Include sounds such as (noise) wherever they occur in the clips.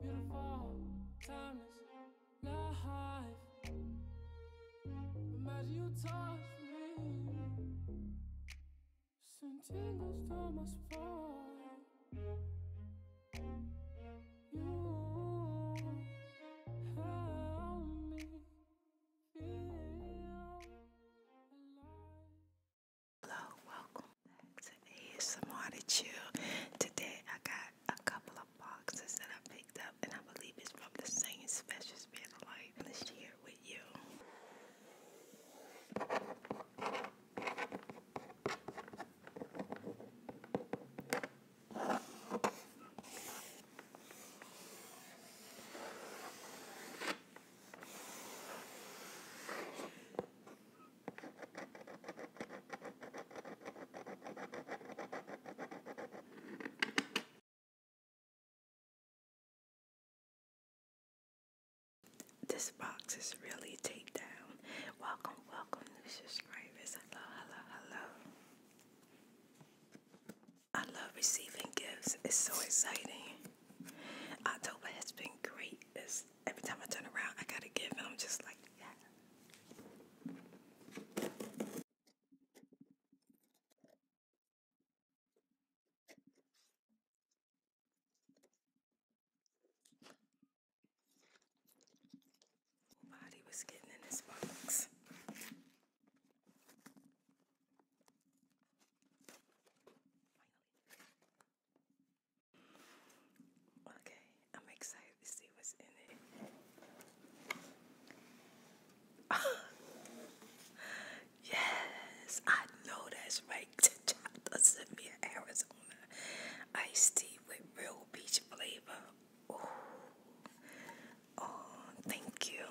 Beautiful, timeless life. Imagine you touch You help me feel alive. Hello, welcome back to ASMR to Today I got a couple of boxes that I picked up, and I believe it's from the same special spirit of life. to share with you. This box is really taped down. Welcome, welcome, new subscribers. Hello, hello, hello. I love receiving gifts. It's so exciting. October has been great. It's, every time I turn around, I got a gift, and I'm just like, yeah. Body was getting in his box. Okay, I'm excited to see what's in it. (laughs) yes, I know that's right. Chata sent me an Arizona iced tea with real peach flavor. Oh, thank you.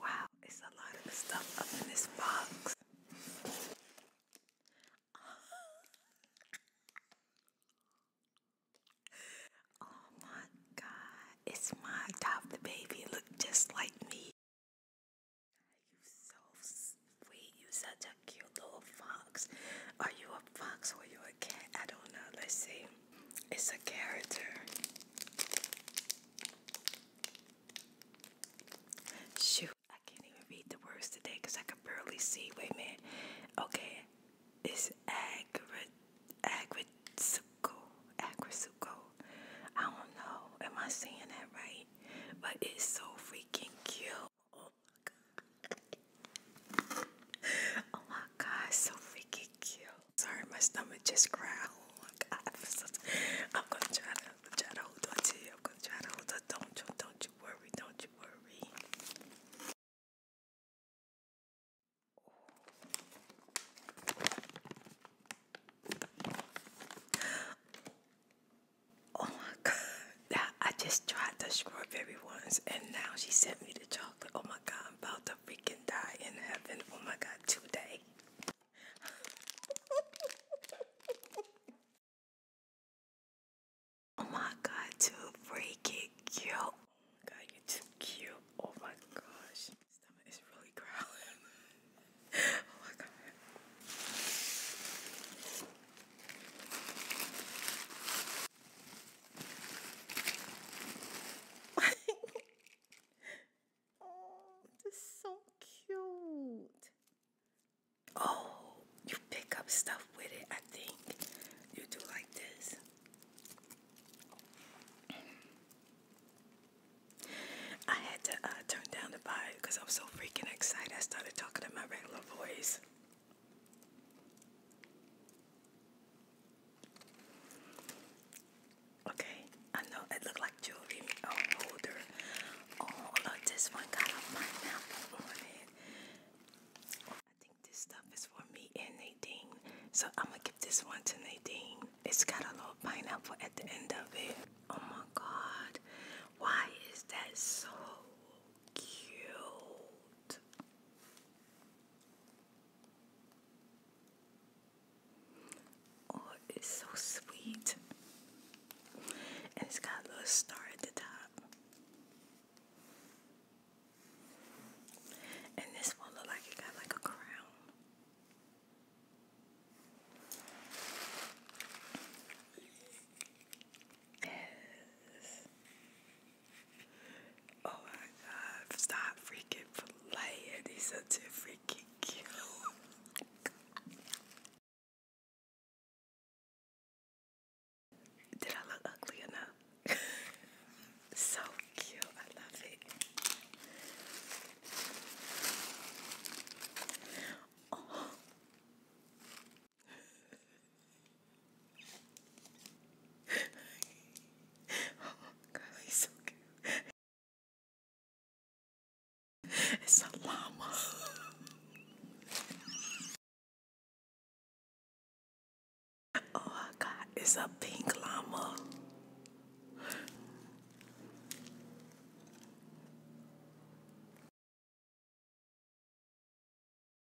Wow, it's a lot of stuff up in this box. Oh my god, it's my adopted baby. Look just like me. You so sweet. You such a cute little fox. Are you a fox or you a cat? I don't know. Let's see. It's a character. Shoot, I can't even read the words today because I could barely see. Wait a Okay, it's Agrisuco. Agrisuco. I don't know. Am I saying that right? But it's so freaking cute. Oh my god. oh my god, so freaking cute. Sorry, my stomach just growled. Oh I'm, gonna try to try to hold on to you. I'm gonna try to hold on. Don't don't you worry, don't you worry. Oh my god. Now I just tried the strawberry ones and now she sent me the chocolate. Oh my god, I'm about to freaking die in heaven. Oh my god, today. (laughs) Oh my god, too freaking cute. Oh my god, you're too cute. Oh my gosh. My is really growling. (laughs) oh my god. (laughs) oh, this is so cute. Oh you pick up stuff with it. I think you do like this. I had to uh, turn down the vibe because I was so freaking excited. I started talking in my regular voice. Okay, I know it looked like jewelry holder. Oh, look, this one got on it. Oh, I think this stuff is for me and Nadine. So I'm gonna give this one to Nadine. It's got a little pineapple at the end of it. Oh my god. Why is that so cute? Oh, it's so sweet. And it's got a little star at the top. And this one look like it got like a crown. Yes. Oh my god, stop freaking playing. These are too freaking cute. Did I look ugly enough? (laughs) so cute. I love it. Oh. oh (laughs) God, he's so cute. (laughs) It's a llama. Oh, I got it's a pink llama.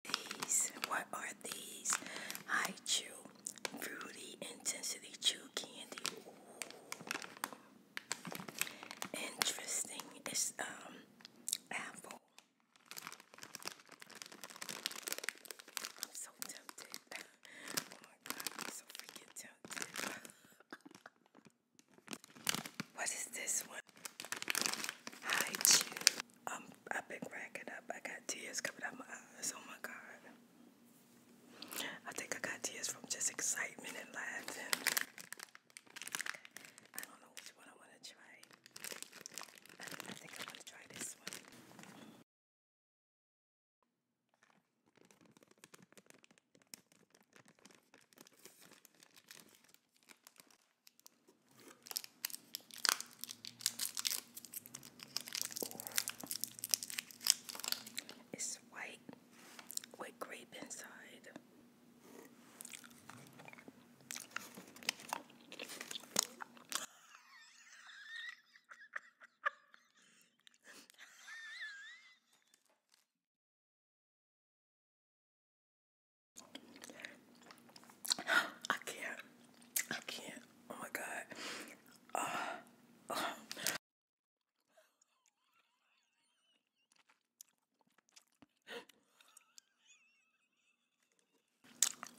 These, what are these? I chew fruity intensity chew candy. Interesting. It's um apple. I'm so tempted. (laughs) oh my god, so freaking tempted. (laughs) what is this one? Hi, Chew. Um, I've been cracking up. I got tears coming out my eyes. Oh my god. I think I got tears from just excitement and laughing. I don't know I think I want to try this one. It's white white grape inside. I can't. I can't. Oh my god. Uh, uh.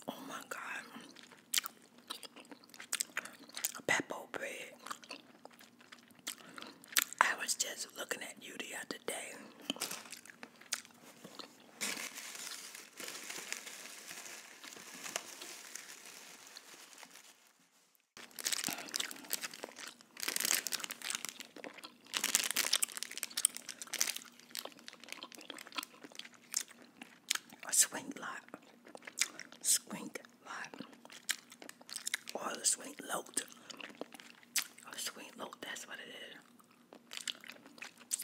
Oh my god. Peppo bread. I was just looking at you the other day a swing lot, swink lot, or the swink load, a swink load. That's what it is.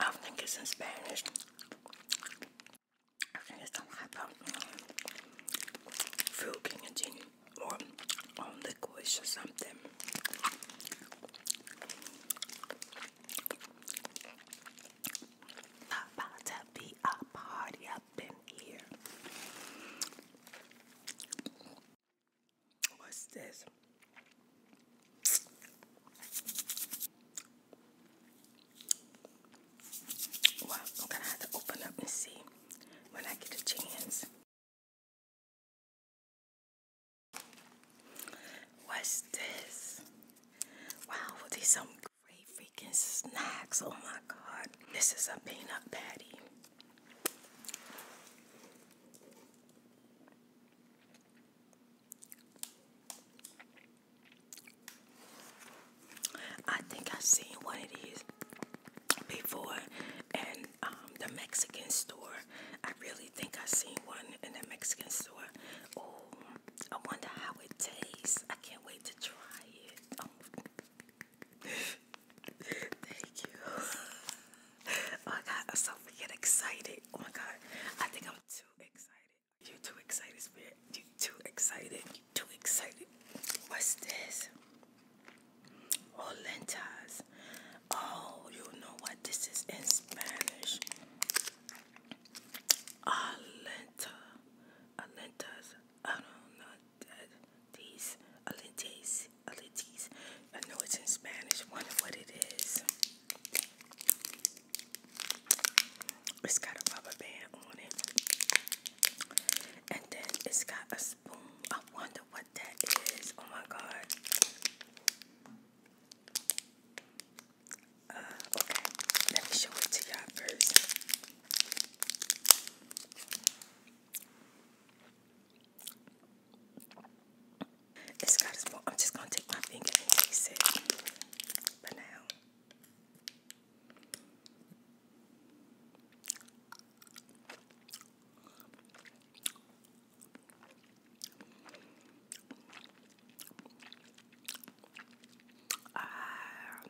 I think it's in Spanish. I think it's talking about um, or on liquids or something. About to be a party up in here. What's this? Well, I'm gonna have to open up and see when I get a chance. What's this? Wow, these some great freaking snacks. Oh my god. This is a peanut patty. I think I've seen one of these before in um, the Mexican store. I really think I seen one in a Mexican store. Oh, I wonder how it tastes. I can't wait to try it. Oh. Thank you. Oh my god, I'm so freaking excited. Oh my god, I think I'm too excited. You too excited, Spirit. You too excited. You too excited. What's this? Oh, lentas. Oh, you know what? This is in Spanish. Alenta. Alentas. I don't know These. Alentes. Alentes. I know it's in Spanish. wonder what it is. It's got a rubber band on it. And then it's got a spoon. I wonder what that is. Oh my god. Uh, okay, let me show it to y'all first. It's got I'm just gonna take my finger and taste it for now. Ah.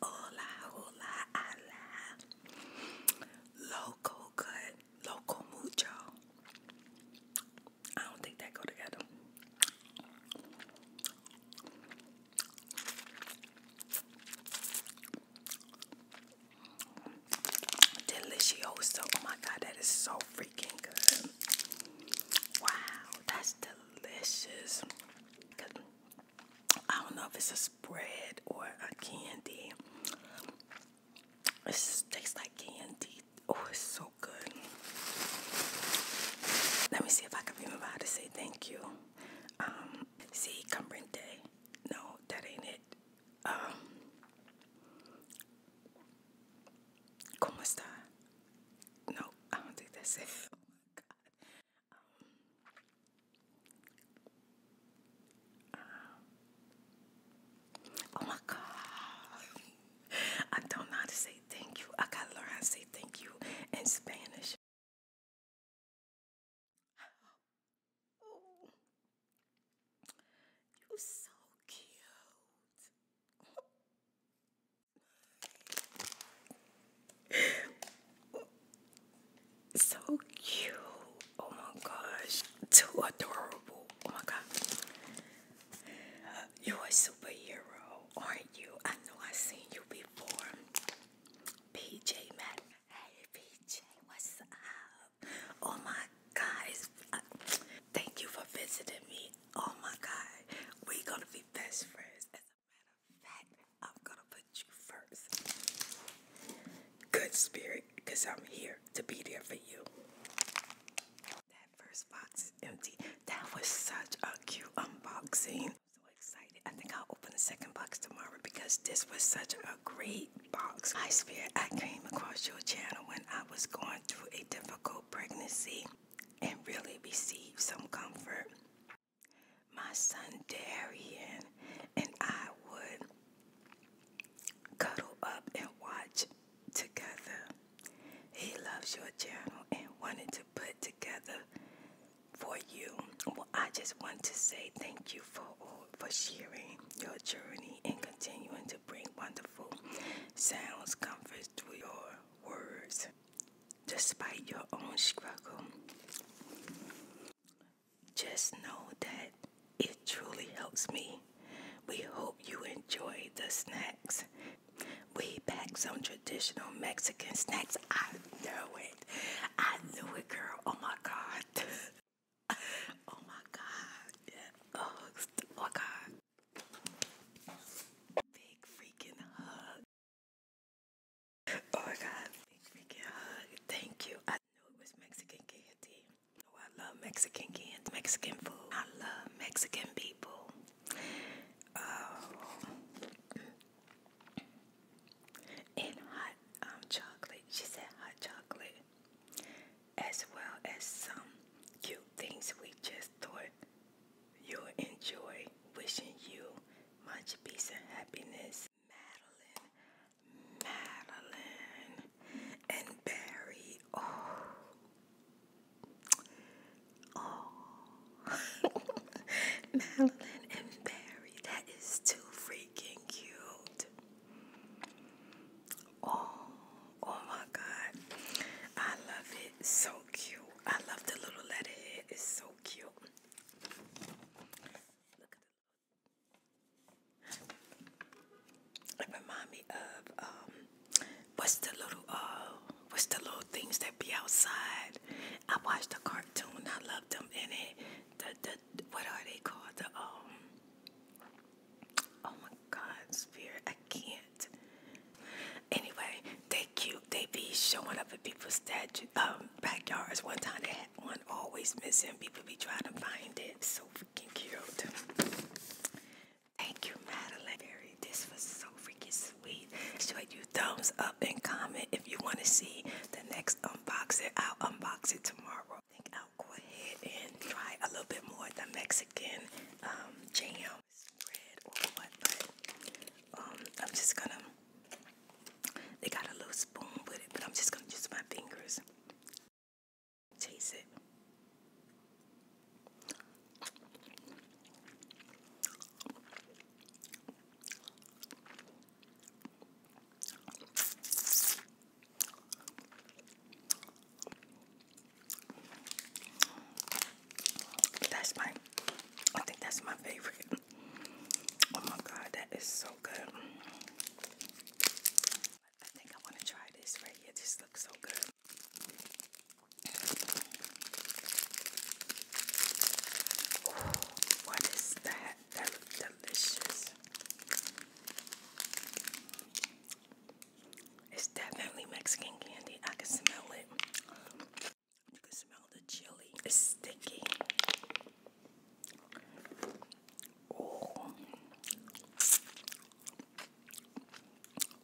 Hola, hola, hola. Loco cut, loco mucho. I don't think that go together. Delicioso. Oh my god, that is so freaking good. Wow, that's delicious. I don't know if it's a spread or a candy. It tastes like candy. Oh, it's so good. Let me see if I can remember how to say thank you. Um, see, comprende. No, that ain't it. Um, ¿Cómo está? No, (laughs) I don't think that's it. Oh my God. Um, oh my God. I don't know how to say thank you. I gotta learn how to say thank you in Spanish. You're so cute. so cute. Oh my gosh. Too adorable. Oh my god. You're a superhero, aren't you? I know I've seen you before. PJ Man. Hey PJ, what's up? Oh my guys, uh, thank you for visiting me. Oh my god, we're gonna be best friends. As a matter of fact, I'm gonna put you first. Good spirit, because I'm here to be there for you. That first box is empty. That was such a cute unboxing. I'm so excited. I think I'll open the second box tomorrow because this was such a great box. Hi, Spirit. I came across your channel when I I was going through a difficult pregnancy and really received some comfort. My son Darian and I would cuddle up and watch together. He loves your journal and wanted to put together for you. Well, I just want to say thank you for for sharing your journey and continuing to bring wonderful sounds, comfort through your words, despite your own struggle. Just know that it truly helps me. We hope you enjoy the snacks. We packed some traditional Mexican snacks. I know it. I knew it, girl. Oh my God. (laughs) oh my God. Yeah. Oh, oh my God. Big freaking hug. Oh my god, big freaking hug. Thank you. I knew it was Mexican candy. Oh, I love Mexican candy, Mexican food. I love Mexican people. Oh. hot um, chocolate. She said hot chocolate as well as some cute things we just thought you'll enjoy. Wishing you much peace and happiness, Madeline, Madeline, and Barry. Oh, oh, (laughs) Madeline and Barry. That is too freaking cute. Oh, oh my God. I love it. So cute. I love the little letterhead. It's so cute. Look at the It reminds me of um what's the little uh what's the little things that be outside. I watched the cartoon, I love them in it. The the what are they called? The um Oh my God, spirit, I can't. Anyway, they cute. They be showing up at people's statue, um, backyards. One time they had one always missing. People be trying to find it. So freaking cute. Thank you, Madeline. This was so freaking sweet. Show you thumbs up and comment if you want to see the next unboxing. I'll unbox it tomorrow. I I'll go ahead and try a little bit more of the Mexican um, jam, um, I'm just gonna, they got a little spoon with it, but I'm just gonna use my fingers. Taste it. That's my, I think that's my favorite. Oh my god, that is so good. I think I want to try this right here. This looks so good. what is that? That looks delicious. It's definitely Mexican candy. I can smell it. You can smell the chili. It's sticky. Oh.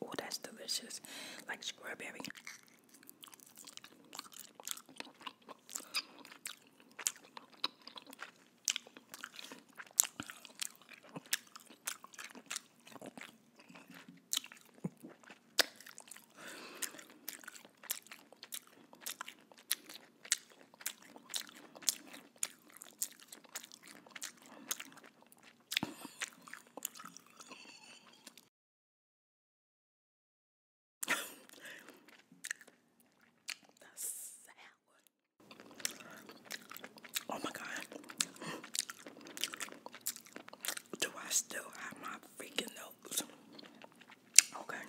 Oh, that's delicious. Like strawberry the sour. Oh my god. Do I still have my freaking nose? Okay.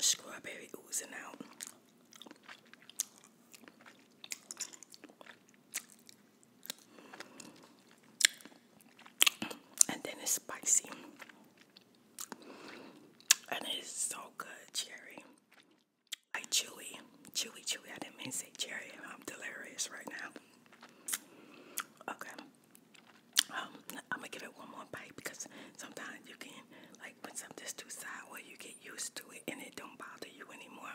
strawberry oozing out. And then it's spicy. And it's so good, cherry. I chewy, chewy, chewy. I didn't mean to say cherry. I'm delirious right now. Okay. Um, I'm gonna give it one more bite because sometimes you can, like, put something something's too where you get used to it and it don't bother you anymore.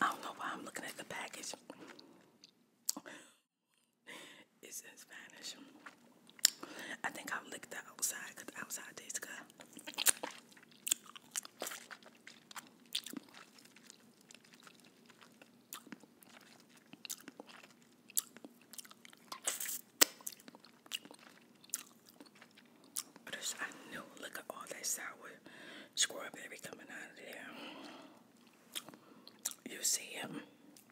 I don't know why I'm looking at the package. It's in Spanish. I think I'll lick that outside because the outside tastes good. This, I knew, look at all that sour squirrel baby coming out of there. You see him.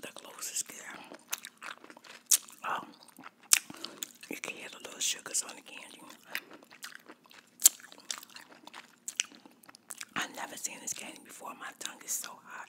The closest there. Oh, you can hear the little sugars on the candy. I've never seen this candy before. My tongue is so hot.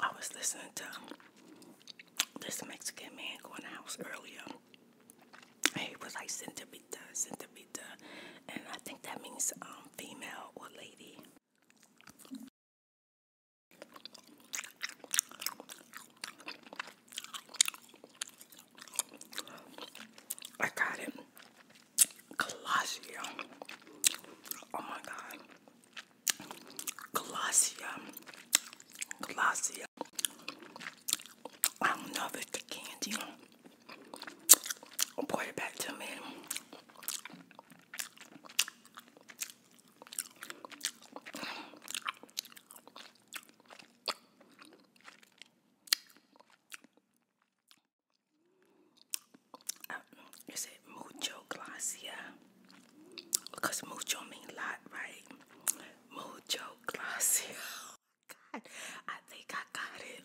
I was listening to this Mexican man going out earlier. he was like centipita, centipita. And I think that means um, female or lady. I got it. Colossia. Oh my god. Colossia. Colossia. I don't know if it's candy. pour it back to me. Uh, is it mucho glacia? Because mucho means lot, right? Mucho glacia. (laughs) Oh, God, I think I got it.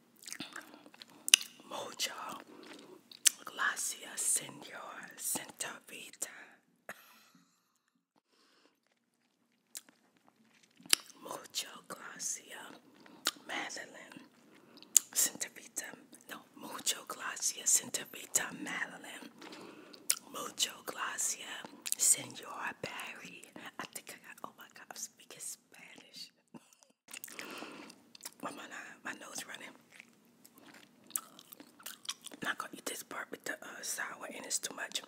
Mojo, Glacia, Senor, Santa Vita, Mojo, Glacia, Madeline, Santa Vita, no, Mojo, Glacia, Santa Vita, Madeline, Mojo, Glacia, Senor Barry. I think I got, oh my God, I'm speaking Spanish. (laughs) Why am My nose running. I'm not gonna eat this part with the uh, sour, and it's too much.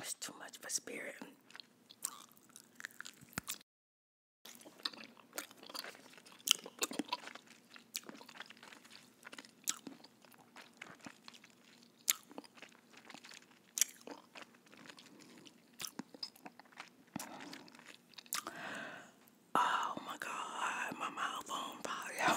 It's too much for spirit. Oh my god, my mouth on fire.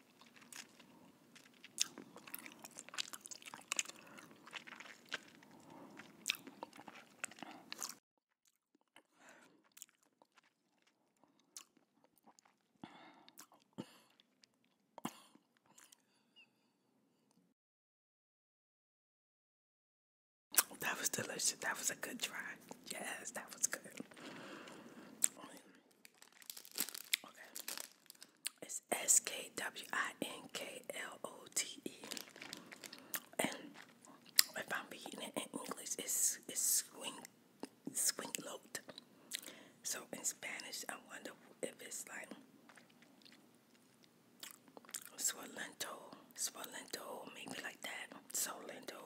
That was delicious. That was a good try. Yes, that was good. Okay. It's S K W I N K L O T E. And if I'm reading it in English, it's it's swing swinglote. So in Spanish, I wonder if it's like swolento, swolento, maybe like that. Solento.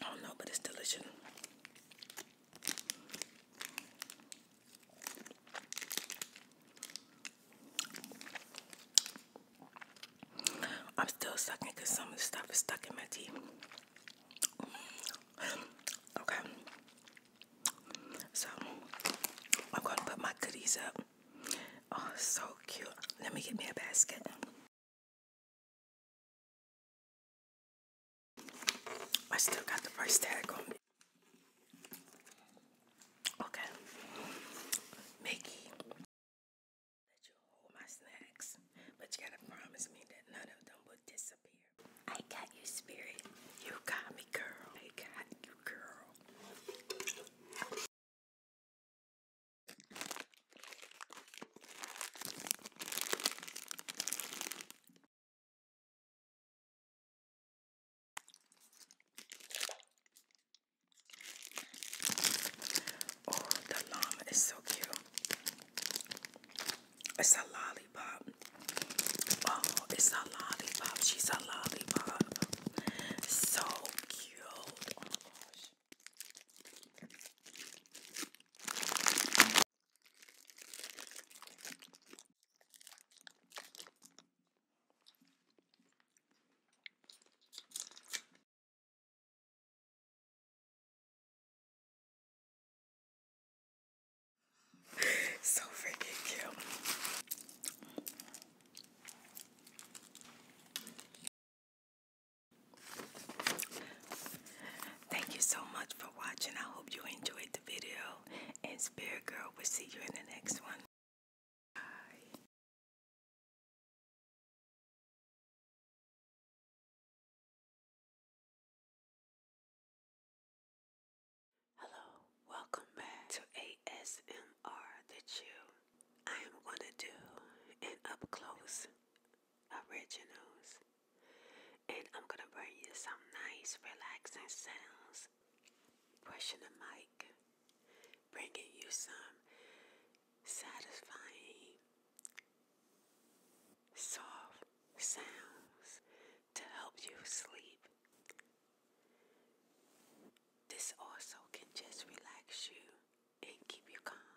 I don't know, but it's delicious. I'm still sucking because some of the stuff is stuck in my teeth. okay. So I'm gonna put my goodies up. Oh, so cute. Let me get me a basket. I still got the price tag on it. Okay. Mickey. Let you hold my snacks. But you gotta promise me that none of them will disappear. I got you, spirit. You got me, girl. I got you, girl. Oh, the llama is so cute. It's a lollipop. Oh, it's a lollipop. She's a lollipop. So cute. Oh my gosh so freaking cute. Thank you so much for watching. I hope you enjoyed the video. And Spirit Girl, we'll see you in the next one. Bye. Hello, welcome back to ASMR The Chill. I am going to do an up close originals and I'm gonna bring you some nice relaxing sounds. Pushing the mic, bringing you some satisfying, soft sounds to help you sleep. This also can just relax you and keep you calm.